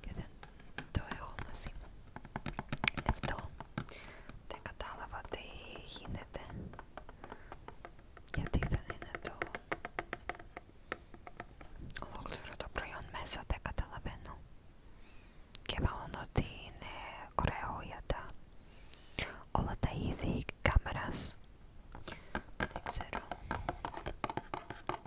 και δεν το έχω μαζί μου. Αυτό δεν κατάλαβα τι γίνεται γιατί δεν είναι το ολόκληρο το προϊόν μέσα, δεν καταλαβαίνω. Και μάλλον ότι είναι ωραίο για όλα τα είδη κάμερας. Δεν ξέρω.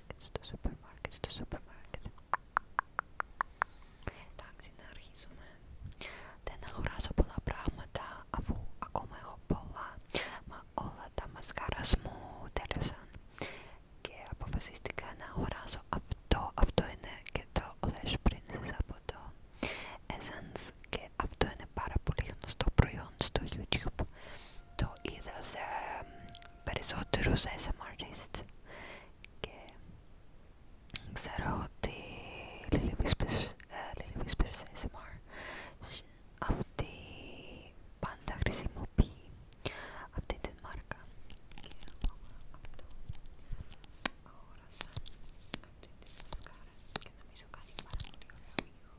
supermarket, στο supermarket, στο supermarket. Εντάξει, να αρχίσουμε. Δεν αγοράζω πολλά πράγματα αφού ακόμα έχω πολλά, μα όλα τα μασκάρα μου τέλειωσαν και αποφασίστηκα να αγοράζω αυτό. Αυτό είναι και το Lash Princess από το Essence και αυτό είναι πάρα πολύ γνωστό προϊόν στο YouTube το είδα σε περισσότερους SMRist και ξέρω ότι Lily Whispers ASMR ε, αυτή πάντα χρησιμοποιεί αυτή την μάρκα και εγώ αυτό αγόρασα αυτή τη μασκάρα και νομίζω κάνει πάρα πολύ ωραίο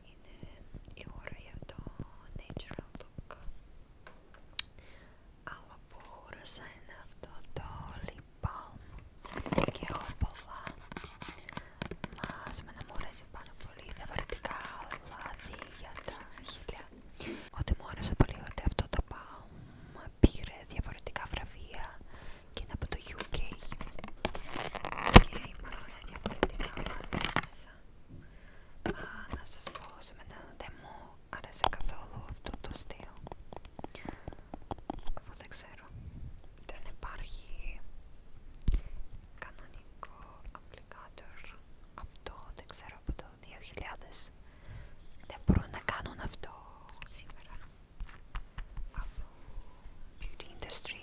είναι η ώρα για το natural look αλλά που χούρασα είναι αυτό το lip balm και έχω πολλά μας με μου αρέσει πάρα πολύ διαφορετικά λάδι για τα χείλια ότι μου άρεσε πολύ ότι αυτό το balm πήρε διαφορετικά βραβεία και είναι από το UK και διαφορετικά μάτια μέσα. Α, να σας πω, σε δεν μου άρεσε καθόλου αυτό το στυλ. Αφού δεν ξέρω, δεν υπάρχει κανονικό applicator. Αυτό δεν ξέρω από το 2000. Δεν μπορούν να κάνουν αυτό σήμερα. Από beauty industry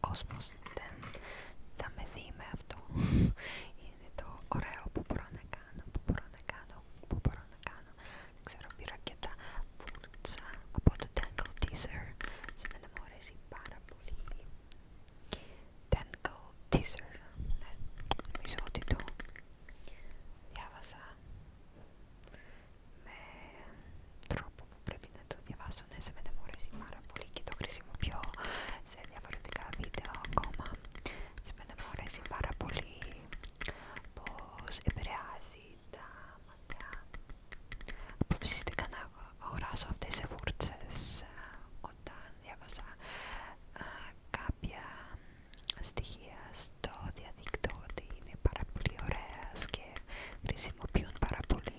κόσμος δεν θα με δει με αυτό είναι το ωραίο που μπορώ να κάνω, που μπορώ να κάνω, που μπορώ να κάνω δεν ξέρω πήρα και τα φούρτσα από το Tangle Teaser σήμερα μου αρέσει πάρα πολύ Tangle Teaser ναι, νομίζω ότι το διάβασα με τρόπο που πρέπει να το διαβάσω. Ναι, σε μένα μου πάρα πολύ και το χρησιμοποιώ σε διαφορετικά βίντεο ακόμα. Σε μένα μου πάρα πολύ πως επηρεάζει τα μάτια. Αποφασίστηκα να αγοράσω αυτές τις φούρτσες ε, όταν διάβασα ε, κάποια στοιχεία στο διαδίκτυο ότι είναι πάρα πολύ ωραίες και χρησιμοποιούν πάρα πολύ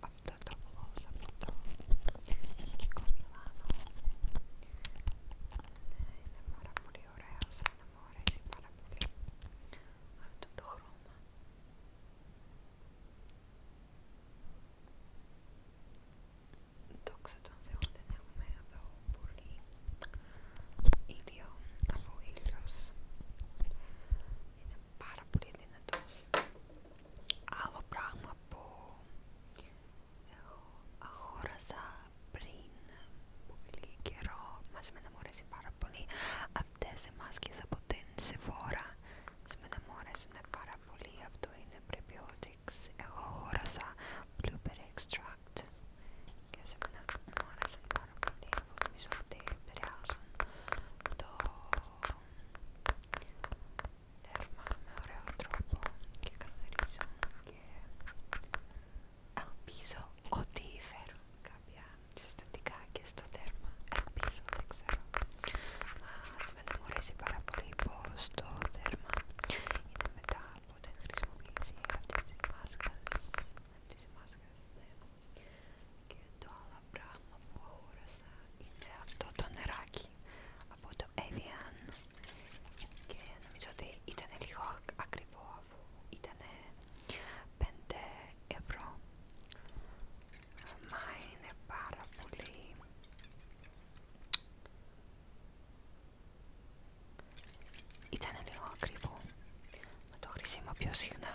αυτό το γλώσσα από το ελληνικό Μιλάνο είναι πάρα πολύ ωραίο σαν να μου αρέσει πάρα πολύ αυτό το χρώμα Δόξα τω Θεώ δεν έχουμε εδώ πολύ ήλιο αφού ήλιος είναι πάρα πολύ δυνατός άλλο πράγμα που εγώ αγόρασα πριν πολύ καιρό μας με αρέσει πάρα πολύ αυτές οι μάσκες από την Sephora Σήμερα μου αρέσουν πάρα πολύ, αυτό είναι prebiotics Εγώ αγόρασα blueberry extract και σήμερα μου αρέσουν πάρα πολύ, αφού νομίζω ότι επηρεάζουν το Τέρμα με ωραίο τρόπο και καθαρίζω και ελπίζω ότι φέρουν κάποια συστατικά και στο τέρμα. Ελπίζω, δεν ξέρω. Μας με ενημερώσει πάρα πολύ πως το τέρμα είναι μετά από την χρησιμοποίηση αυτής της μάσκας, αυτής τις μάσκας, και το άλλο πράγμα που αγόρασα είναι αυτό το νεράκι από το Avian και νομίζω ότι ήταν λίγο ακριβό αφού ήταν 5 ευρώ μα είναι πάρα πολύ ήταν λίγο ακριβό, μα το χρησιμοποιώ συχνά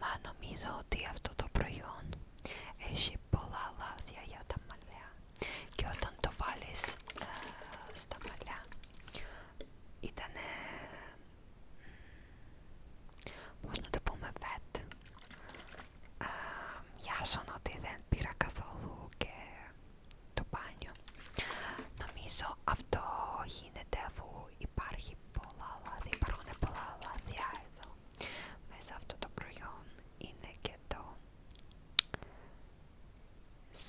Μα νομίζω ότι αυτό το προϊόν έχει πολλά λάδια για τα μαλλιά και όταν το βάλεις ε, στα μαλλιά ήτανε... πώς να το πούμε βέτ ε, ότι δεν πήρα καθόλου και το μπάνιο νομίζω αυτό γίνεται αφού υπάρχει πολλά λάδι, υπάρχουν πολλά λάδια εδώ μέσα αυτό το προϊόν είναι και το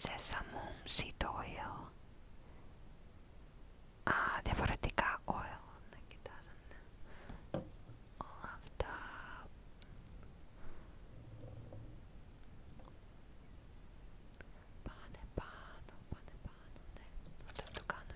Sesame Seed Oil Α, διαφορετικά oil, να κοιτάζανε όλα αυτά Πάνε πάνω, πάνε πάνω, ναι, όταν το κάνω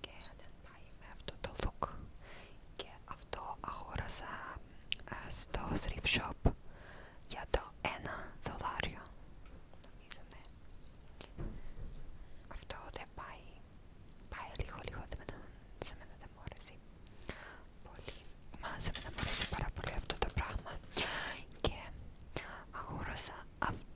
και δεν πάει με αυτό το look και αυτό αγόρασα ε, στο thrift shop για το ένα δολάριο νομίζω ναι αυτό δεν πάει πάει λίγο λίγο σε μένα δεν μου αρέσει πολύ μα σε μένα μου αρέσει πάρα πολύ αυτό το πράγμα και αγόρασα αυτό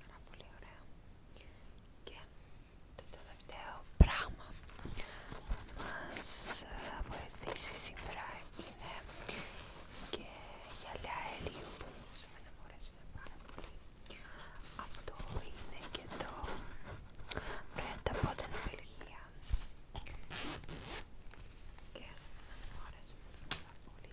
Πάρα πολύ ωραίο. Και το τελευταίο πράγμα που μας βοηθήσει σήμερα είναι και γυαλιά ελίου που σήμερα μου αρέσουν πάρα πολύ. Αυτό είναι και το Brand από την Βελγία και σήμερα μου αρέσουν πάρα πολύ